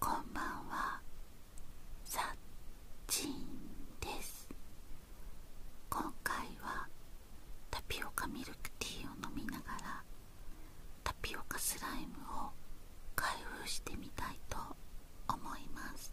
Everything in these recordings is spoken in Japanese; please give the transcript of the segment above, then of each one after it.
こんばんはさっちんです今回はタピオカミルクティーを飲みながらタピオカスライムを開封してみたいと思います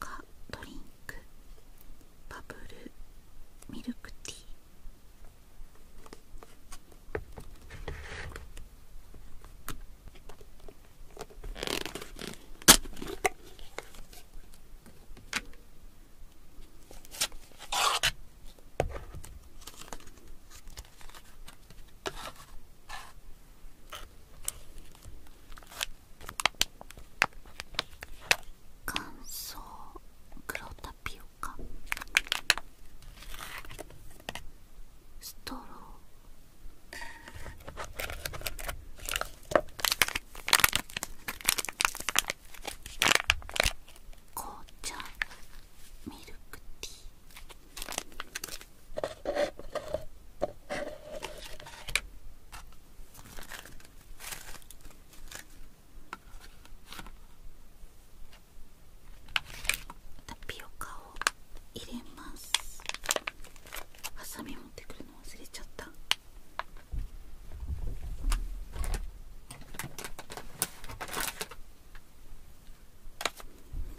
ピドリンクバブルミルクティー乾燥黒タピオカストロー紅茶ミルクティータピオカを入れますハサミ持ってくるの忘れちゃった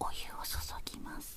お湯を注ぎます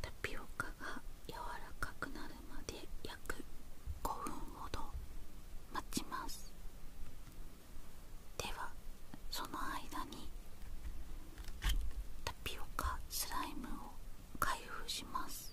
タピオカが柔らかくなるまで約5分ほど待ちますではその間にタピオカスライムを開封します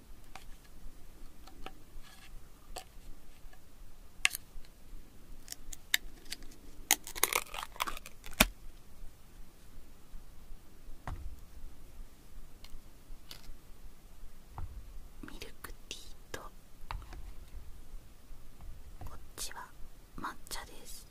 ミルクティーとこっちは抹茶です。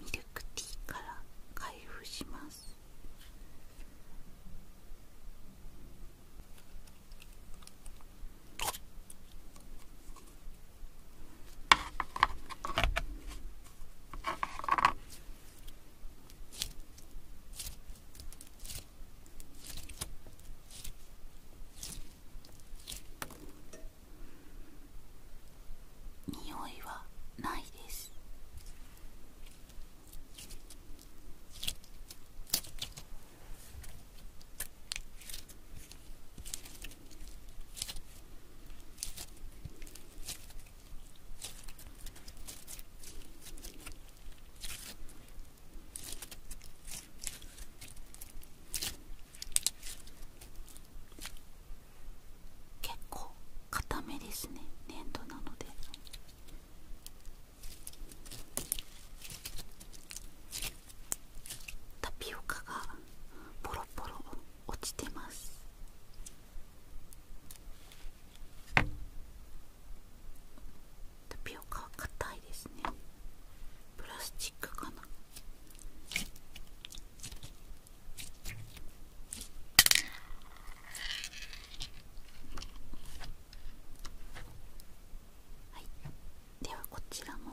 ミルクティーから開封します匂いはないです結構固めですね粘土なのでタピオカがポロポロ落ちてますタピオカは硬いですねプラスチックかなはい、ではこちらも。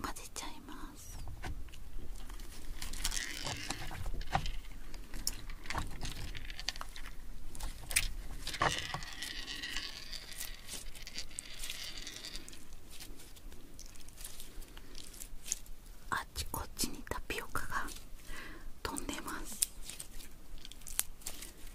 混ぜちゃいますあっちこっちにタピオカが飛んでます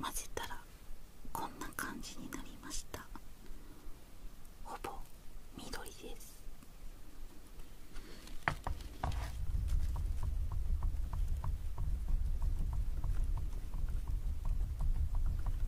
混ぜたらこんな感じになりましたほぼ緑です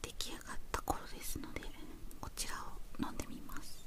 出来上がった頃ですのでこちらを飲んでみます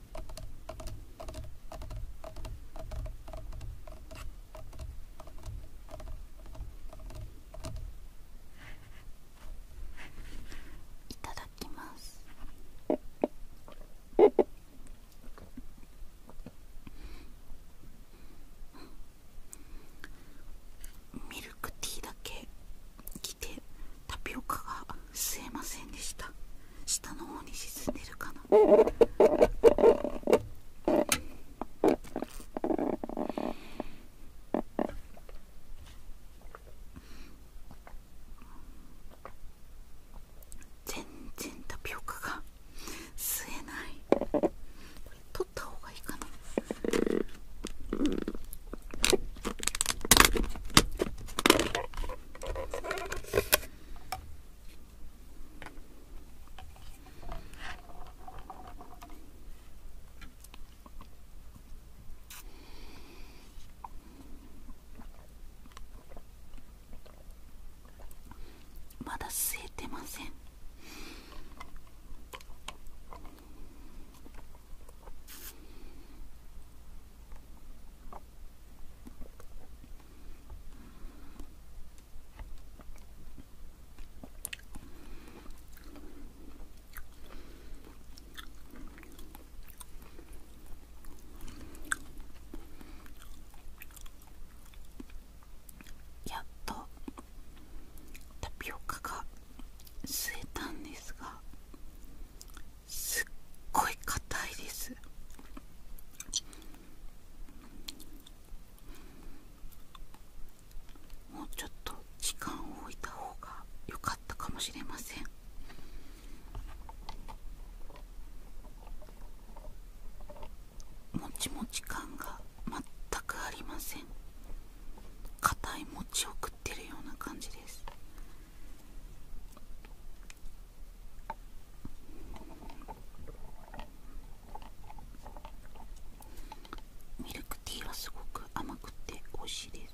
いただきます。ミルクティーだけ来てタピオカが吸えませんでした下の方に沈んでるかな全然タピオカが吸えない取った方がいいかなまだ吸えてませんやっとタピオカが吸えたんですがすっごい硬いですもうちょっと時間を置いた方が良かったかもしれませんもちもち感が全くありません硬い餅を食ってるような感じですミルクティーはすごく甘くて美味しいです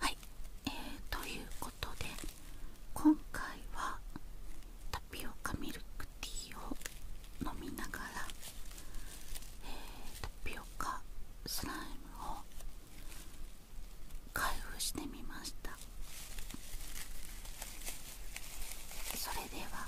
はい、えということで今回はタピオカミルクティーを飲みながら、えタピオカスライムを開封してみましたそれでは